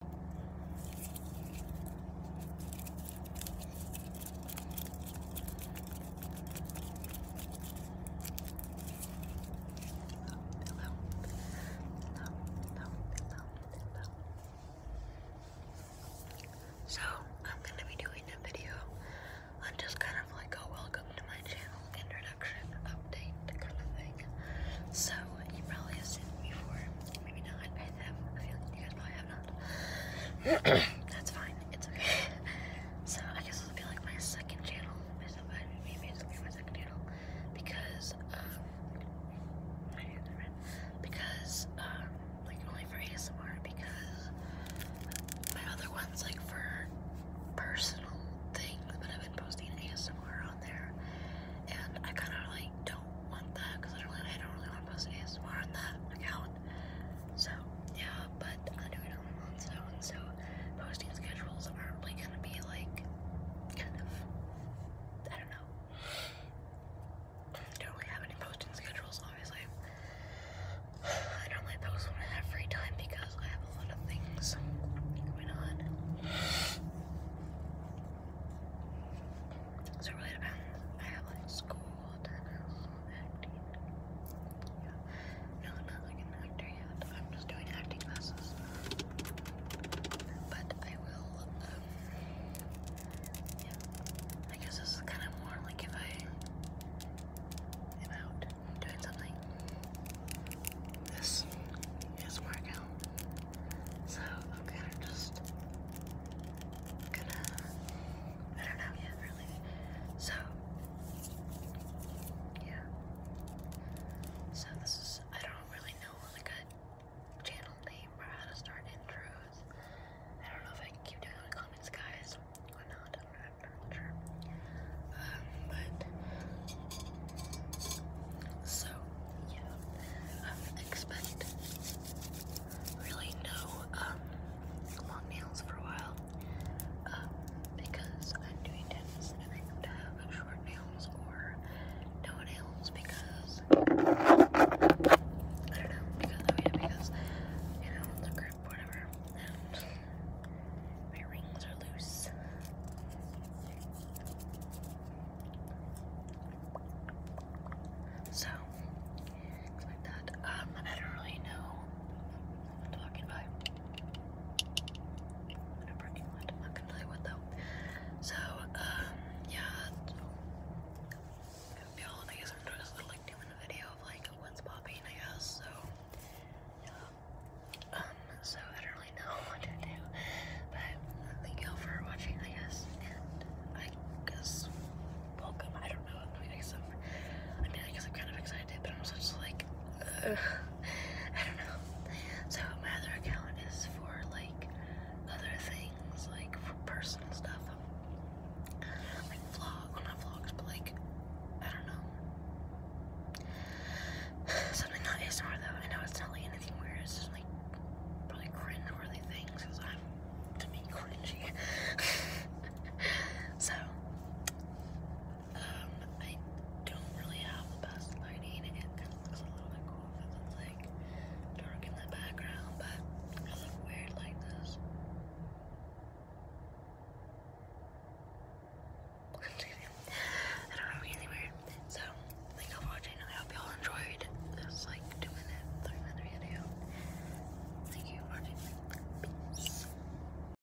So, I'm going to be doing a video on just kind of like a welcome to my channel introduction update kind of thing. So you probably seen it before, maybe not. I have a feeling you guys probably have not. That's fine. It's okay. So I guess it'll be like my second channel. My maybe it's going my second channel because um Because um like only for ASMR because my other ones like for personal things, but I've been posting ASMR on there, and I kind of like don't want that because I don't really, I don't really want to post ASMR on that account. So yeah, but I am doing it on my own so and so posting schedules are probably gonna be like kind of I don't know. don't really have any posting schedules, obviously. I don't like those one every time because I have a lot of things going on. So it really I have like school, tennis, acting. Yeah. No, not like an actor yet. I'm just doing acting classes. But I will, um, I guess this is kind of more like if I and out doing something. This is workout. So I'm kind of just gonna I don't know yet really. So yeah. So this is I don't really know like a channel name or how to start intros I don't know if I can keep doing the comments, guys, or not. I'm not, I'm not sure. Um, but so yeah, expect really no um, long nails for a while. Um, because I'm doing tennis and I have to have short nails or no nails because I don't know, because I mean because you know the grip whatever my rings are loose. So things like that. Um, I don't really know what I'm talking about. I'm not going what though. So um yeah Cause beyond, I guess I'm just like doing a video of like what's popping, I guess. So yeah. Um. So I don't really know what to do, but uh, thank y'all for watching, I guess. I guess welcome. I don't know. I mean, I guess I'm. I mean, I guess I'm kind of excited, but I'm just like. I don't know. So my other account is for like other things, like for personal stuff, like vlog, well not vlogs, but like I don't know, something not ASMR though. I know it's not like anything weird. It's like probably cringe things because I'm to be cringy. so um, I don't really have the best lighting. It kind of looks a little bit cool because it's like dark in the background, but I look weird like this. I don't know, really weird. So, thank you for watching. I hope y'all enjoyed this like two minute, three minute video. Thank you for watching. Peace.